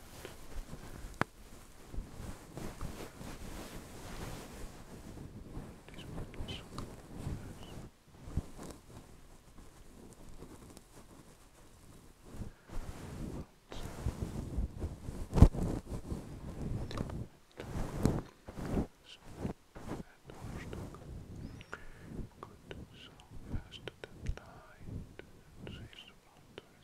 These ones. So, Good, so faster than light, and saves about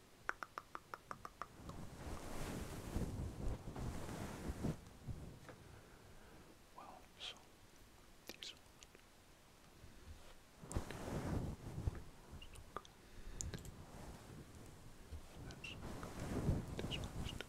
Well, so these are one. That's this one's stuck. That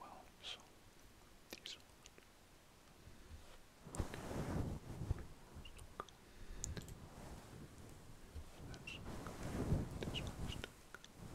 Well, so these one. That's this one's stuck. That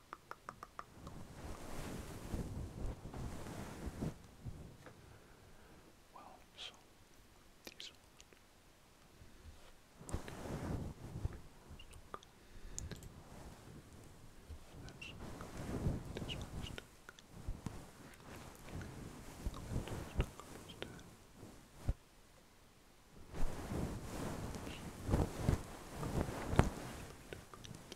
Well, so this one. Let's look. This one is stuck.